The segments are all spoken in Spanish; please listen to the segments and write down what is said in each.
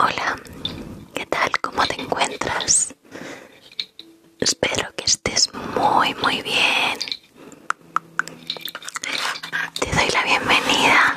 Hola, ¿qué tal? ¿Cómo te encuentras? Espero que estés muy, muy bien. Te doy la bienvenida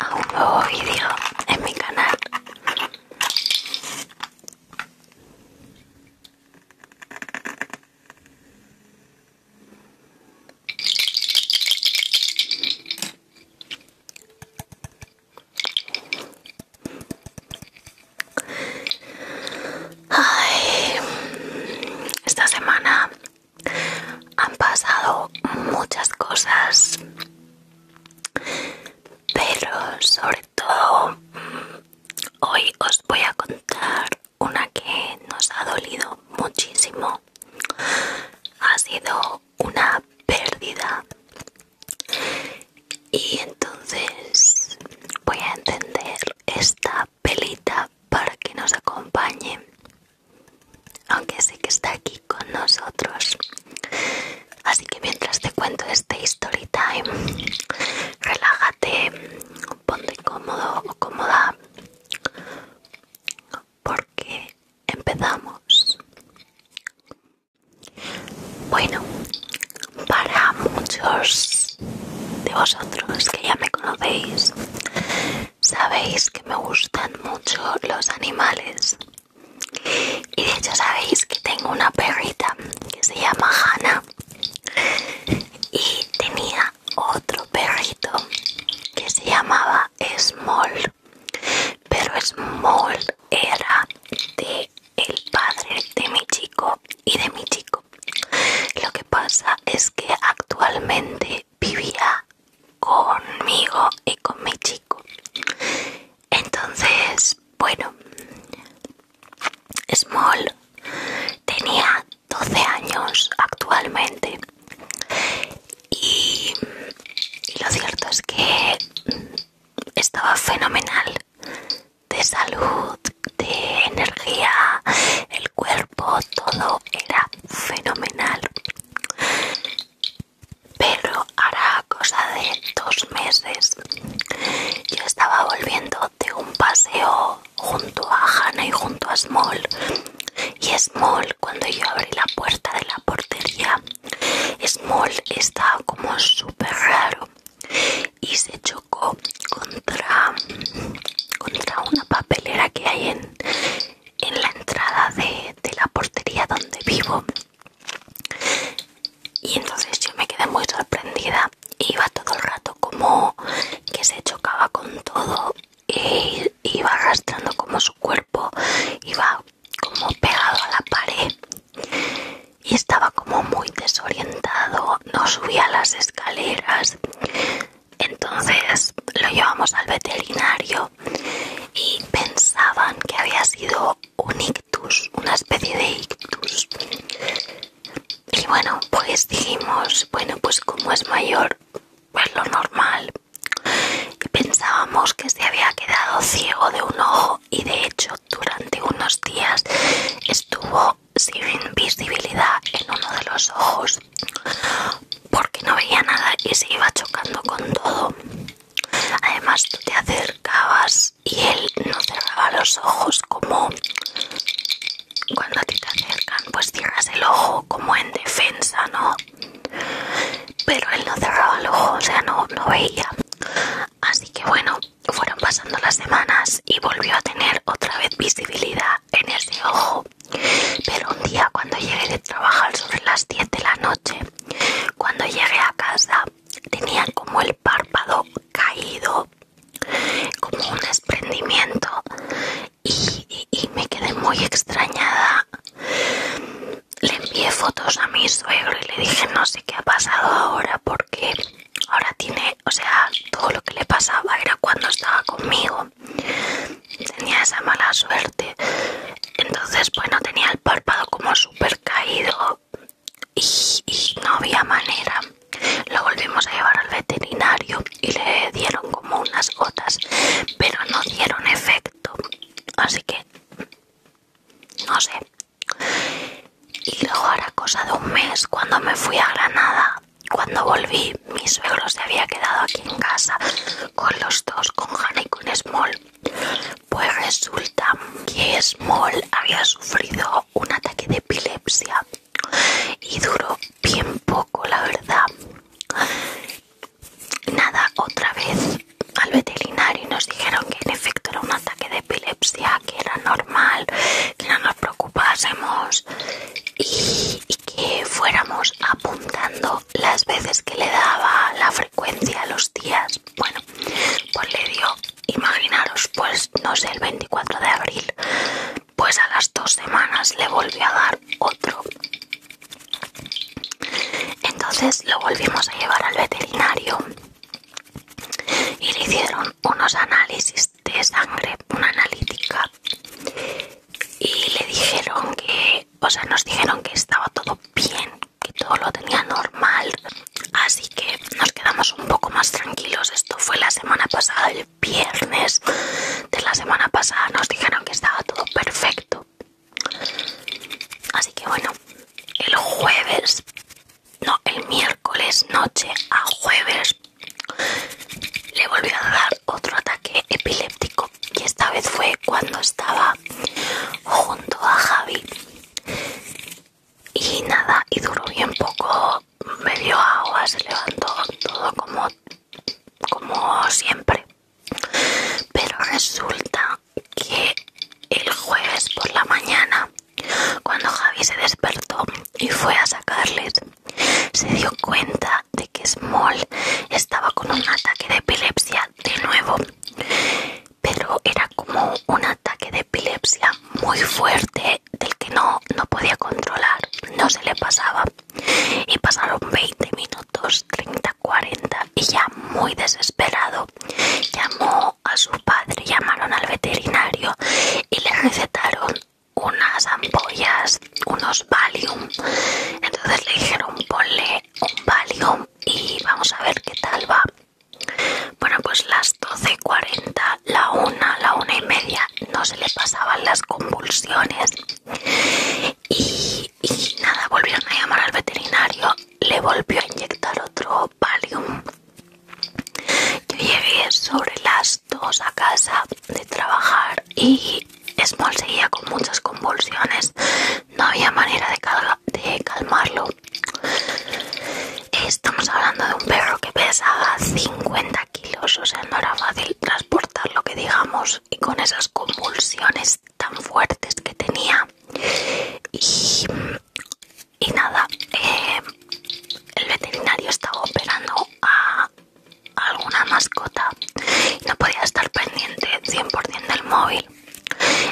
a un nuevo vídeo en mi canal. Ay, esta semana han pasado muchas cosas pero sobre todo mm, hoy os voy a contar una que nos ha dolido muchísimo. Ha sido una pérdida y entonces voy a encender esta pelita para que nos acompañe aunque sé que está aquí con nosotros Así que mientras te cuento este story time, relájate, ponte cómodo o cómoda, porque empezamos. Bueno, para muchos de vosotros que ya me conocéis, sabéis que me gustan mucho los animales y de hecho sabéis que tengo una perrita que se llama Hannah y tenía otro perrito que se llamaba Small, pero Small era de el padre de mi chico y de mi chico. Lo que pasa es que actualmente vivía conmigo y con mi chico entonces, bueno, Small tenía 12 años actualmente y, lo cierto es que estaba fenomenal de salud, de energía, el cuerpo, todo era fenomenal pero hará cosa de dos meses yo estaba volviendo de un paseo junto a Hanna y junto a Small y Small cuando yo abrí la puerta de la portería Small estaba como súper raro y se chocó contra, una papelera que hay en, la entrada de, de la portería donde vivo y entonces yo me quedé muy sorprendida. Iba todo el rato como que se chocaba con todo. Y iba arrastrando como su cuerpo. Iba como pegado a la pared. Y estaba como muy desorientado. No subía las escaleras. Entonces lo llevamos al veterinario y pensaban que había sido un una especie de ictus. Y bueno, pues dijimos, bueno, pues como es mayor, pues lo normal. Y pensábamos que se había quedado ciego de un ojo y de hecho durante unos días estuvo sin visibilidad en uno de los ojos porque no veía nada y se iba chocando con todo. Además, tú te acercabas y él no cerraba los ojos como cuando a ti te acercan pues cierras el ojo como en defensa, ¿no? Pero él no cerraba el ojo, o sea, no, no veía. Así que bueno, fueron pasando las semanas y volvió a tener otra vez visibilidad en ese ojo. Pero un día cuando llegué de trabajar sobre las 10 de la noche, cuando llegué a casa, tenía como el párpado caído, como un desprendimiento y, me quedé muy extrañada. Le envié fotos a mi suegro y le dije no sé qué ha pasado ahora porque ahora tiene, o sea, todo lo que le pasaba era cuando estaba conmigo. Tenía esa mala suerte. Entonces, bueno, tenía el párpado como súper caído y, no había manera. Lo volvimos a llevar al veterinario y le dieron como unas gotas, pero no dieron efecto. Así que, no sé. Y luego ahora cosa de un mes cuando me fui a Granada. Cuando volví, mi suegro se había quedado aquí en casa con los dos, con Hannah y con Small. Pues resulta que Small había sufrido un ataque de epilepsia y duró bien poco, la verdad. Nada, otra vez al veterinario nos dijeron que en efecto era un ataque de epilepsia, que era normal, que no nos preocupásemos y, que fuéramos apuntando las veces que le daba la frecuencia a los días. Bueno, pues le dio, imaginaros, pues no sé, el 24 de abril, pues a las dos semanas le volvió a dar otro. Entonces lo volvimos a llevar al veterinario y le hicieron unos análisis de sangre, una analítica, y le dijeron que, o sea, nos dijeron que estaba todo bien que todo lo tenía normal así que nos quedamos un poco más tranquilos esto fue la semana pasada el viernes de la semana pasada nos dijeron que estaba todo perfecto así que bueno el jueves no el miércoles noche a jueves le volví a dar otro ataque epiléptico y esta vez fue cuando estaba junto a Javi y nada, y duró bien poco, me dio agua, se levantó todo como, como siempre. Pero resulta que el jueves por la mañana, cuando Javi se despertó y fue a sacarles, se dio cuenta de que Small estaba con un ataque de epilepsia de nuevo pero era como un ataque de epilepsia muy fuerte del que no, podía controlar, no se le pasaba. Y pasaron 20 minutos, 30, 40 y ya muy desesperado llamó a su padre, llamaron al veterinario y le recetaron unas ampollas, unos Valium. Entonces le dijeron ponle un Valium y vamos a ver qué tal va. Bueno, pues las 12.40, la una, la una y media, no se le pasaban las convulsiones. Y, nada, volvieron a llamar al veterinario, le volvió a inyectar otro Valium. Yo llegué sobre las dos a casa de trabajar y Small seguía con muchas convulsiones no había manera de, calmarlo. Estamos hablando de un perro que pesaba 50 kilos, o sea, no era fácil transportar lo que digamos, y con esas convulsiones tan fuertes que tenía. Y, nada, eh, el veterinario estaba operando a alguna mascota y no podía estar pendiente 100% del móvil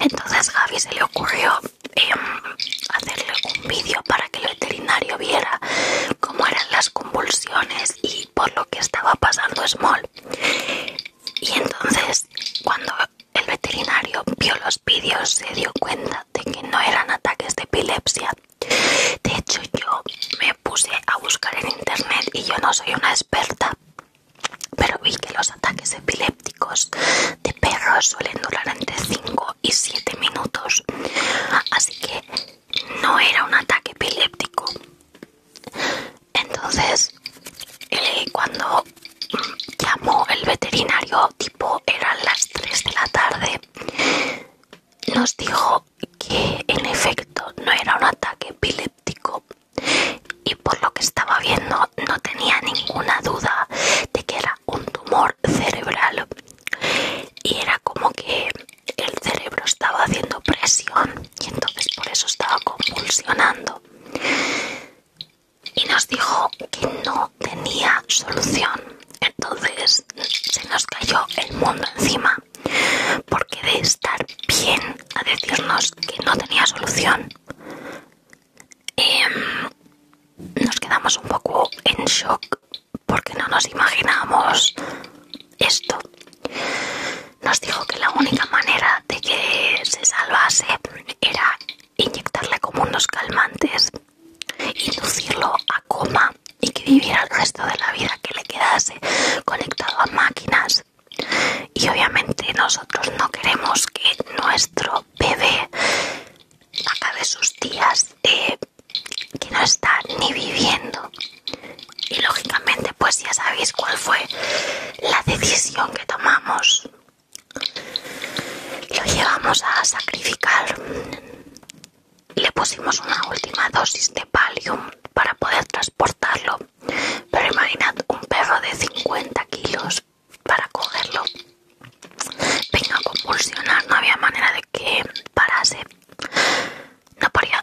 entonces Javi se le ocurrió em, hacerle un vídeo para que el veterinario viera cómo eran las convulsiones y por lo que estaba pasando Small. Y entonces cuando el veterinario vio los vídeos se dio cuenta de que no eran ataques de epilepsia. De hecho yo me puse a buscar en internet y yo no soy una experta, pero vi que los ataques de epilepsia de perros suelen durar entre 5 y 7 minutos, así que no era un ataque epiléptico. Entonces, eh, cuando mm, llamó el veterinario, tipo eran las 3 de la tarde, nos dijo que en efecto no era un ataque epiléptico y por lo que estaba viendo no tenía ninguna duda de que era un tumor cerebral y era como que el cerebro estaba haciendo presión y entonces por eso estaba convulsionando y nos dijo que no tenía solución entonces se nos cayó el mundo encima porque de estar bien a decirnos que no tenía solución Em, nos quedamos un poco en shock porque no nos imaginamos esto. Nos dijo que la única manera de que se salvase era inyectarle como unos calmantes, inducirlo a coma y que viviera el resto de la vida que le quedase conectado a máquinas. Y obviamente nosotros no queremos que nuestro bebé acabe sus días que no está ni viviendo y lógicamente pues ya sabéis cuál fue la decisión que tomamos lo llevamos a sacrificar le pusimos una última dosis de palio para poder transportarlo pero imaginad un perro de 50 kilos para cogerlo venga a convulsionar no había manera de que parase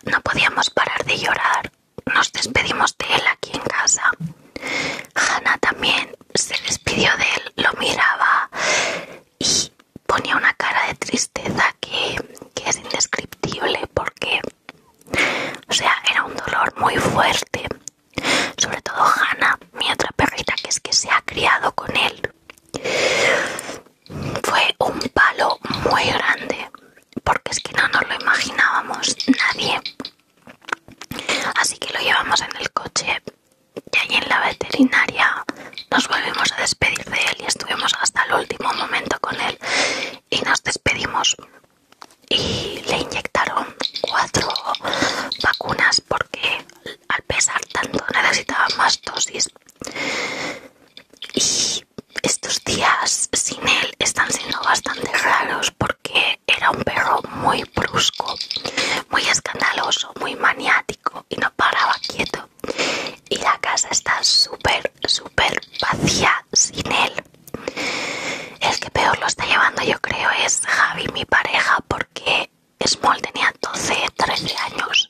no, podíamos parar de llorar nos despedimos de él aquí en casa Hanna también se despidió de él lo miraba y ponía una cara de tristeza que, que es indescriptible porque o sea era un dolor muy fuerte sobre todo Hannah, mi otra perrita que es que se ha criado con él. Fue un palo muy grande, porque es que no nos lo imaginábamos nadie. Así que lo llevamos en el coche y allí en la veterinaria nos volvimos a despedir de él y estuvimos hasta el último momento con él y nos despedimos y le inyectaron cuatro vacunas porque al pesar tanto necesitaba más dosis y estos días sin él están siendo bastante raros porque era un perro muy brusco, muy escandaloso, muy maniático y no paraba quieto. Y la casa está súper, súper vacía sin él. El que peor lo está llevando yo creo es Javi, mi pareja, porque Small tenía 12, 13 años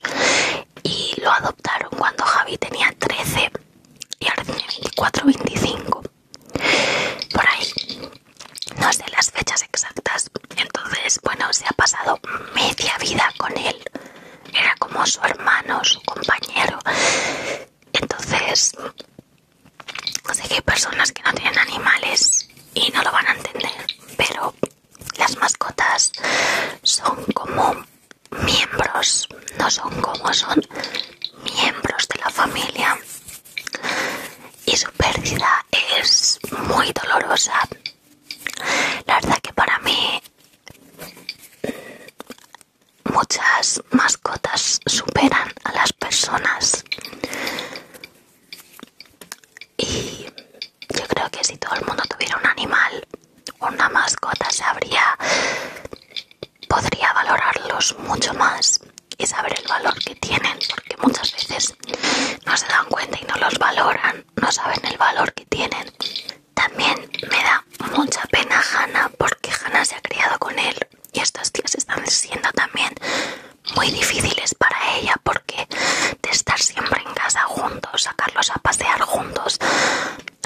y lo adoptaron cuando Javi tenía 13 y ahora tiene 24, 25. Por ahí. No sé las fechas exactas. Entonces, bueno, se ha pasado media vida con él. Era como su hermano, su compañero. Entonces, sé que hay personas que no tienen animales y no lo van a entender, pero las mascotas son como miembros, no son como son miembros de la familia y su pérdida es muy dolorosa. La verdad que para mí muchas mascotas superan a las personas y yo creo que si todo el mundo tuviera un animal, una mascota, sabría, podría valorarlos mucho más y saber el valor que tienen, porque muchas veces no se dan cuenta y no los valoran, no saben el valor que tienen. También me da mucha pena Hannah porque Hannah se ha criado con él y estos días están siendo también muy difíciles para ella porque de estar siempre en casa juntos, sacarlos a pasear juntos,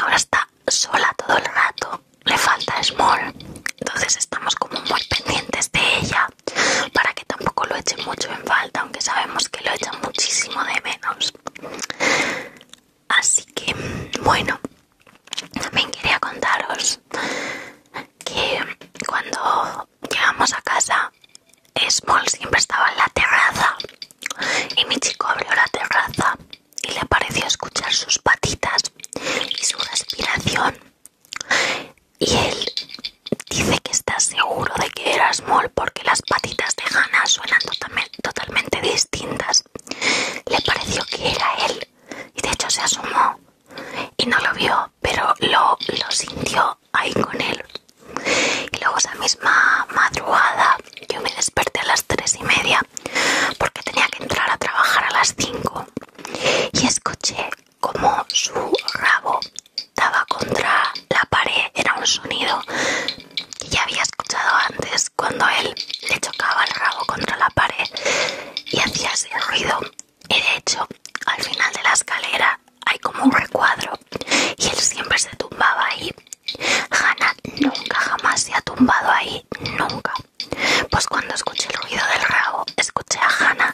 ahora está sola todo el rato, le falta Small. Entonces estamos como muy pendientes de ella para que tampoco lo eche mucho en falta, aunque sabemos que lo echan muchísimo de menos. Así que, bueno, también quería contaros que cuando llegamos a casa, Small siempre estaba en la terraza y mi chico abrió la terraza y le pareció escuchar sus patitas y su respiración y él dice que está seguro de que era Small porque las patitas de Hannah suenan totalmente, totalmente distintas. Le pareció que era él y de hecho se asomó y no lo vio, pero lo, sintió ahí con él. Y luego esa misma madrugada yo me desperté a las tres y media porque tenía que entrar a trabajar a las 5 y escuché como su rabo daba contra la pared. Era un sonido que ya había escuchado antes cuando él le chocaba el rabo contra la pared y hacía ese ruido y de hecho, al final de la escalera hay como un recuadro y él siempre se tumbaba ahí. Hannah nunca jamás se ha tumbado ahí, nunca. Pues cuando escuché el ruido del rabo, escuché a Hannah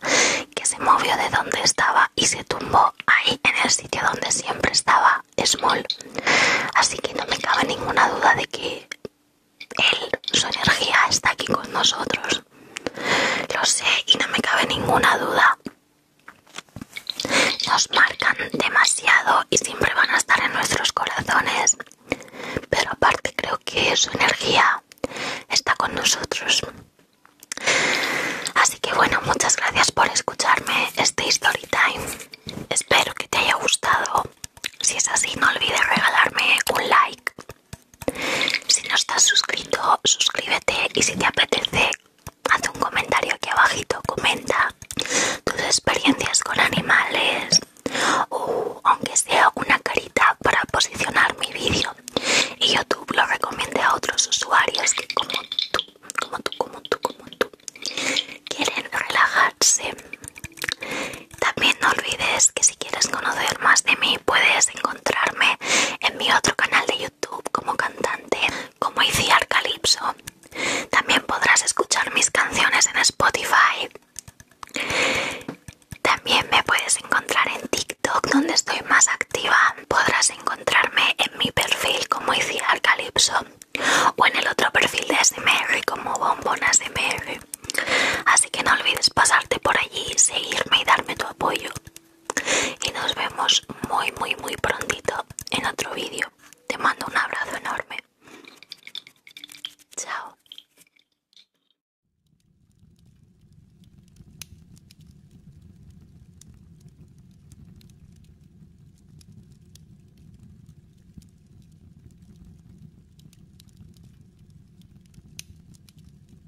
que se movió de donde estaba y se tumbó ahí en el sitio donde siempre estaba Small. Así que no me cabe ninguna duda de que él, su energía está aquí con nosotros. Lo sé y no me cabe ninguna duda. Nos marcan demasiado y siempre van a estar en nuestros corazones. Pero aparte creo que su energía está con nosotros. Así que bueno, muchas gracias por escucharme este Storytime Espero que te haya gustado. Si es así, no olvides regalarme un like si no estás suscrito, suscríbete y si te apetece, haz un comentario aquí abajito, comenta tus experiencias con animales o aunque sea una carita para posicionar mi vídeo y YouTube lo recomiende a otros usuarios que como tú, como tú, como tú, como tú quieren relajarse. También no olvides que si quieres conocer más de mí puedes encontrarme en mi otro canal de YouTube como cantante, como Iciar Arcalipso. También podrás escuchar mis canciones en Spotify. También me puedes encontrar en TikTok, donde estoy más activa. Podrás encontrarme en mi perfil como Iciar Arcalipso o en el otro perfil de SMR como de SMR. Así que no olvides pasarte por allí, seguirme y darme tu apoyo y nos vemos muy muy muy prontito en otro vídeo. Te mando un abrazo enorme. Chao.